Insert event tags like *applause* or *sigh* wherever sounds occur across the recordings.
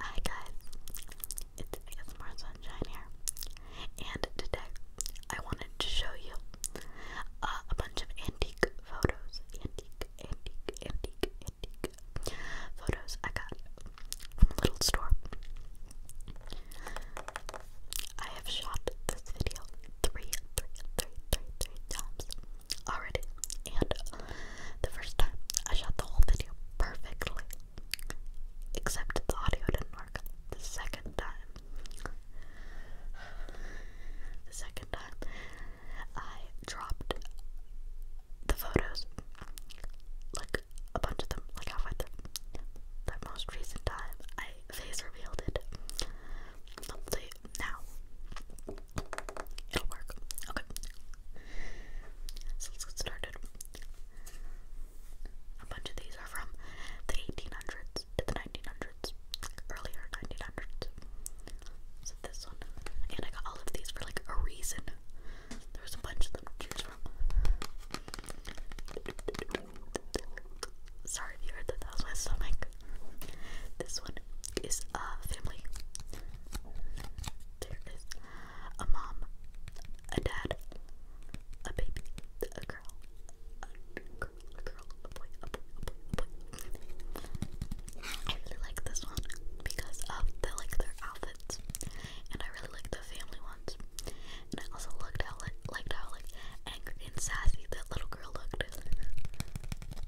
Hi guys, it's ASMR Sunshine here, and today I wanted to show you uh, a bunch of antique photos, antique, antique, antique, antique photos I got from a little store. I have shot this video three, three, three, three, three times already, and the first time I shot the whole video perfectly, except the audio didn't work. The second time, the second time, I dropped the photos, like a bunch of them, like halfway through. That most recent time, I face revealed it. Hopefully now It'll work. Okay. So let's get started. A bunch of these are from the 1800s to the 1900s, earlier 1900s. this one, and I got all of these for like a reason. There was a bunch of them to choose from. Sorry you heard that. That was my stomach. This one is a uh, family there is a mom, a dad, a baby, a girl, a girl, a boy, a boy, I really like this one because of the like their outfits, and I really like the family ones. And I also liked how liked how like angry and sassy that little girl looked.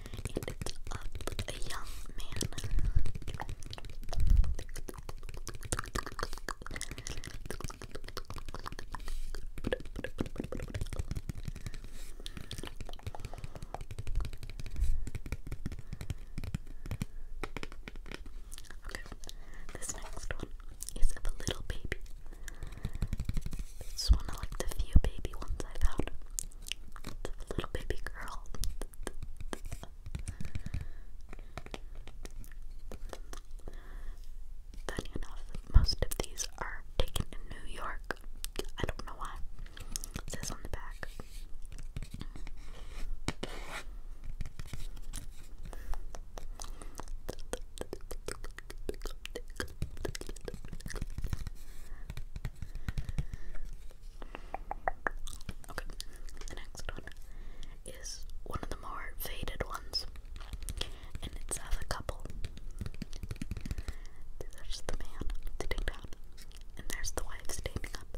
and it's a young man. this next one is of a little baby. This one I like the few baby ones I've little baby girl. Funny enough, most of these are taken in New York. I don't know why. It says on the back. Okay, the next one is one of the more faded ones, and it's of a couple. There's the man sitting down, and there's the wife standing up.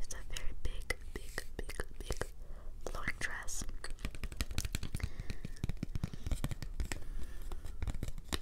It's a very big, big, big, big flowing dress.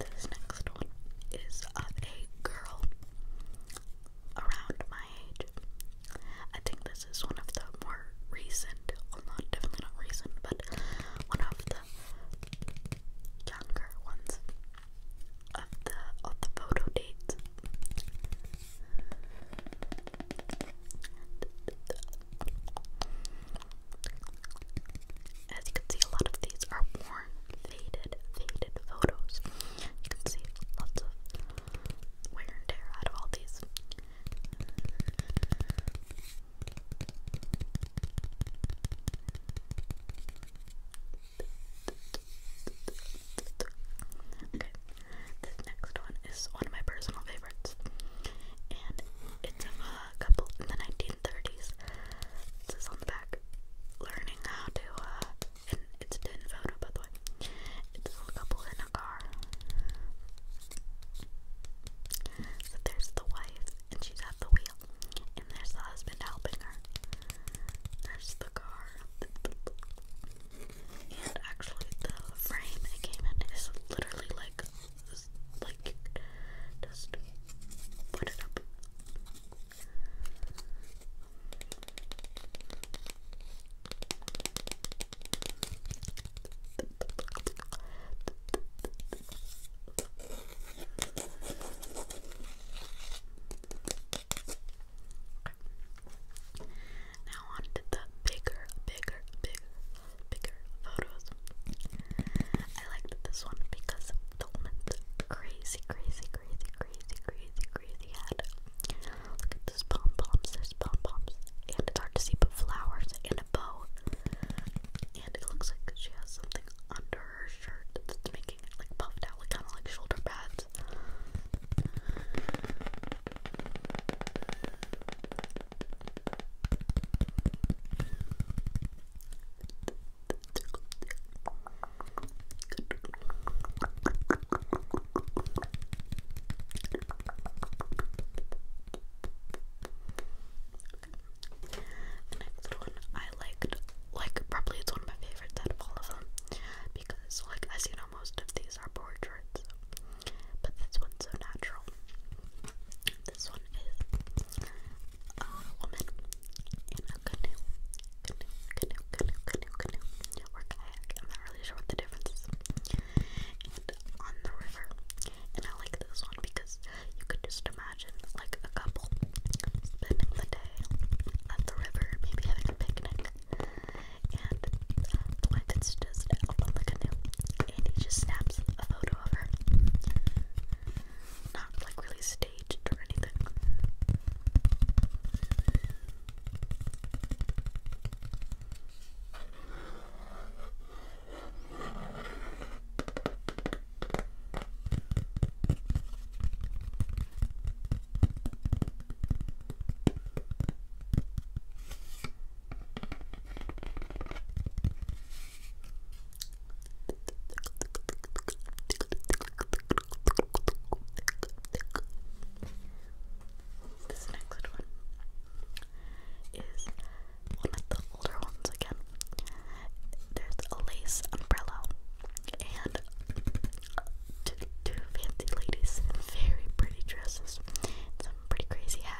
This next one is of a girl around my age. I think this is one of the more recent, well, not definitely not recent, but one of the younger ones of the photo dates. As you can see, a lot of these are worn, faded, faded photos. You can see lots of wear and tear out of all these. Okay, this next one is one of my personal favorites, and it's a a couple in the 1930s. It says on the back, learning how to, uh, and it's a tin photo by the way. It's a couple in a car. there's the wife, and she's at the wheel, and there's the husband helping her. There's the car. And actually, the frame it came in is literally like like just put it up. Now on the bigger, bigger, bigger, bigger photos. I liked this one because the woman's crazy, crazy, crazy, crazy, crazy, crazy head. Look at those pom poms. There's pom poms, and it's hard to see, but flowers and a bow. And it looks like she has something under her shirt that's making it like puffed out, kind of like shoulder pads. The next one I liked, like, probably it's one of my favorites out of all of them because, like, as you know, most of these are portraits, but this one's so natural. This one is uh, a woman in a canoe, canoe, canoe, canoe, canoe, canoe, or kayak. I'm not really sure what the difference is. And on the river. And I like this one because you could just imagine like a couple spending the day at the river, maybe having a picnic. And the wife is just up on the canoe, and he just snaps a photo not like really staged or anything. This next one is one of the older ones again. There's a lace umbrella and two, fancy ladies in very pretty dresses some pretty crazy hats.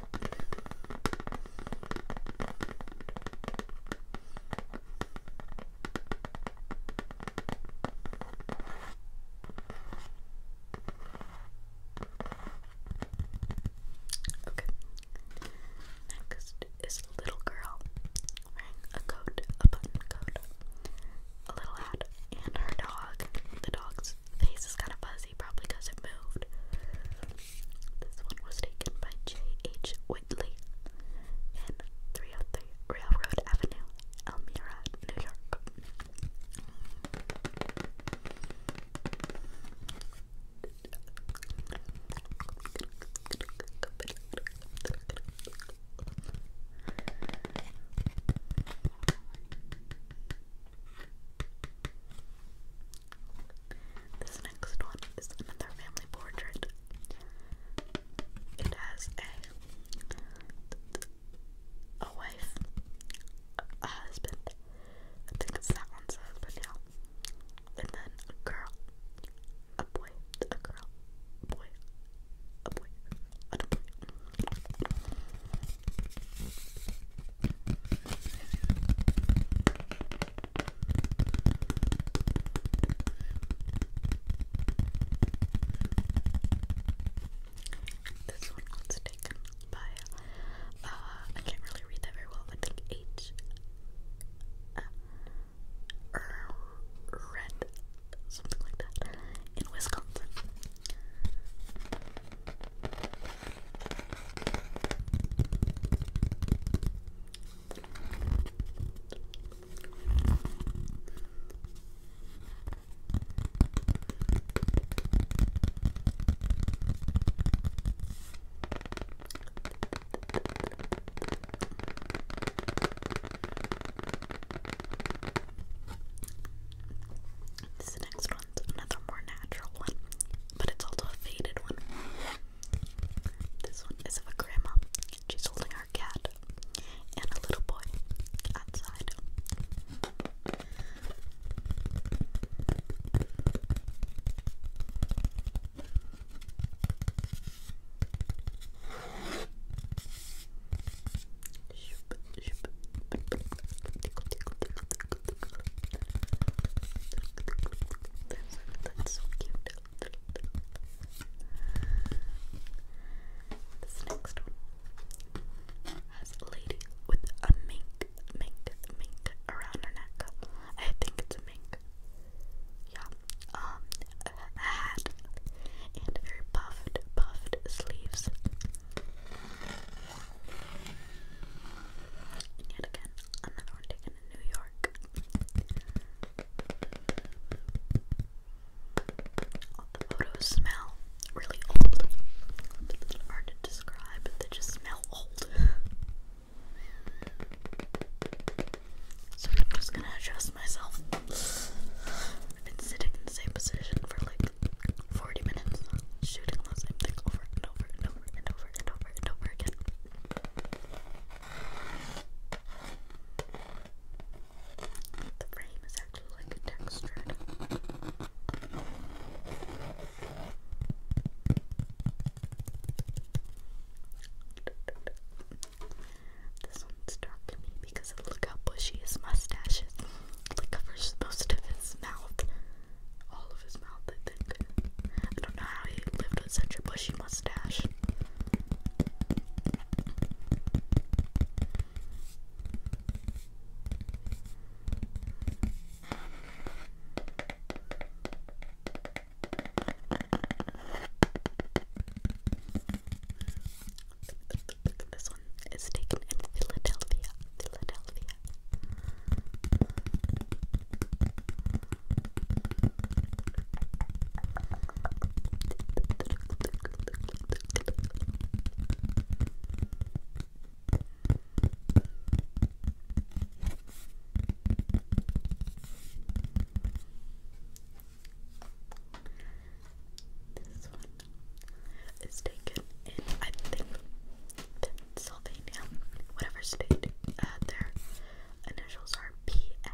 Okay. Next is a little girl wearing a coat, a button coat, a little hat, and her dog. The dog's face is kind of fuzzy. Jersey, probably because it moved. This one was taken by J.H. Whitley in 303 Railroad Avenue, Elmira, New York. This next one is another family portrait. It has a a wife, a husband. I think it's that one's husband And then a girl, a boy, a girl, boy, a boy, a boy. This one was taken by, uh, I can't really read that very well, I think H. Uh, er, red, something like that, in Wisconsin. This next one's another more natural one but it's also a faded one. This one is of a grandma. She's holding her cat and a little boy outside. That's, so cute. next one has a lady with a mink, mink, mink around her neck. I think it's a mink. Yeah. Um, a hat and very puffed, puffed sleeves. And yet again, another one in New York. All the photos smell really old. It's hard to describe, but they just smell old. So I'm just gonna adjust myself. I've been sitting in the same position for like 40 minutes, shooting the same thing over and over and and over and over and over again. The frame is actually like textured. This one stuck me because of, look how bushy his mustache is. It covers most of his mouth all of his mouth, I think. I don't know how he lived with such a bushy mustache. This one is taken in Philadelphia. Philadelphia. This one is taken in, I think, Sylvania, whatever state, uh, their initials are PA.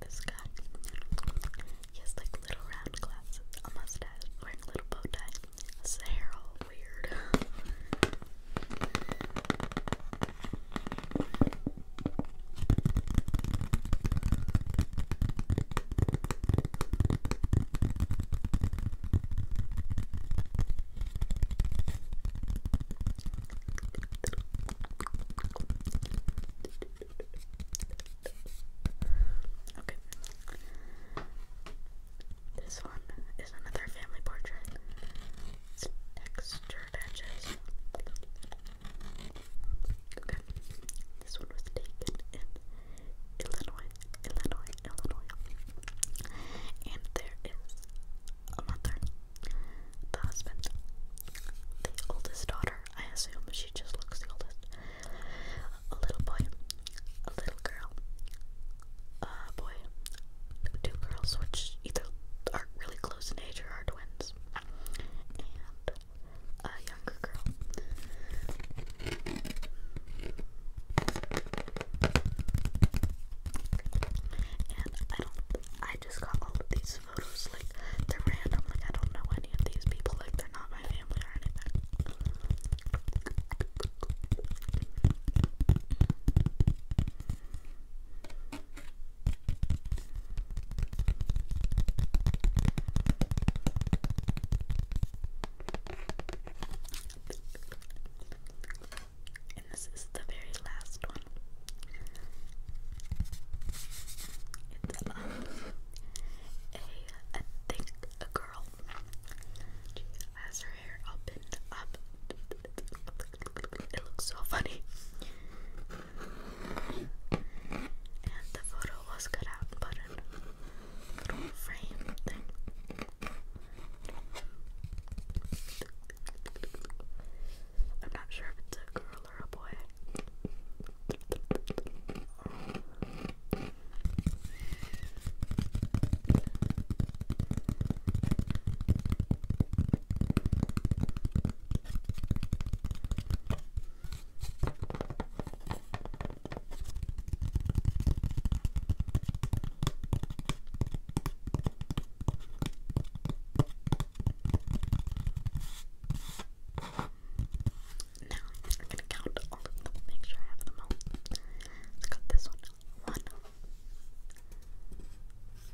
this guy. He has like little round glasses, a mustache, wearing little bow tie. His weird. *laughs* Okay. This one is another family portrait. textured edges. Okay. This one was taken in Illinois, Illinois, Illinois. And there is a mother, the husband, the oldest daughter, I assume she just looks the oldest. A little boy, a little girl, a boy, two girls, which either are really close in age or are twins a younger girl. And I don't, I just got all of these photos, like, they're random, like, I don't know any of these people, like, they're not my family or anything. And this is the very last one. It's *laughs* a, thick girl. She has her hair up and up. *laughs* It looks so funny. And the photo was cut out and put in a little frame thing. I'm not sure if it's a girl or a boy. Now I'm gonna count all of them, make sure I have them all. Let's cut this one. One,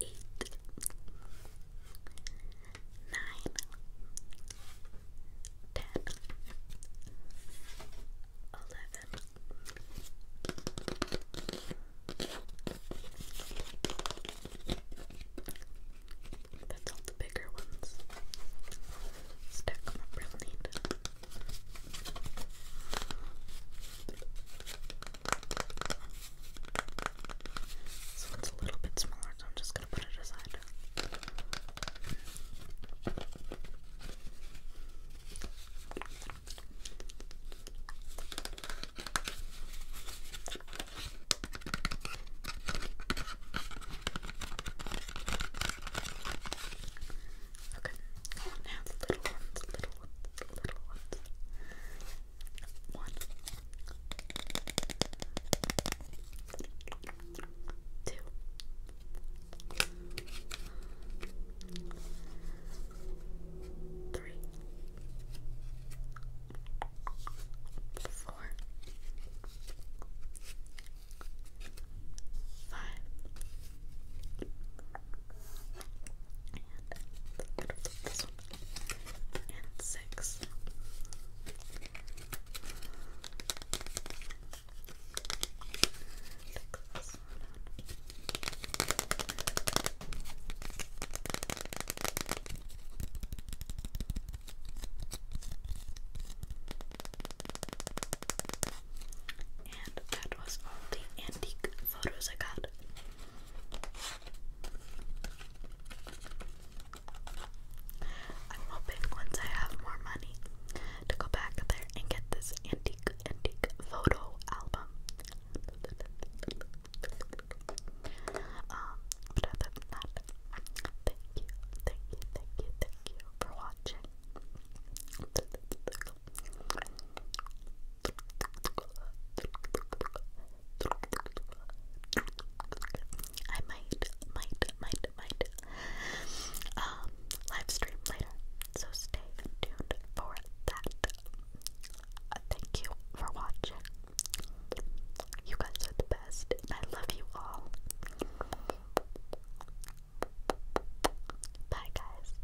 eight, nine, ten, eleven, that's all the bigger ones. Stack them up real neat. This one's a little bit smaller, so I'm just gonna put it aside. Okay, now the little ones, little ones, little ones. One, two, three, four, five, and this one and six. Six. And that was all the antique photos I got. I'm hoping once I have more money to go back there and get this antique photo album. Um, but other than that, thank you, thank you, thank you, thank you for watching. I might, might, might, might um, live stream later, so stay tuned for that. Uh, thank you for watching. You guys are the best, I love you all. Bye, guys.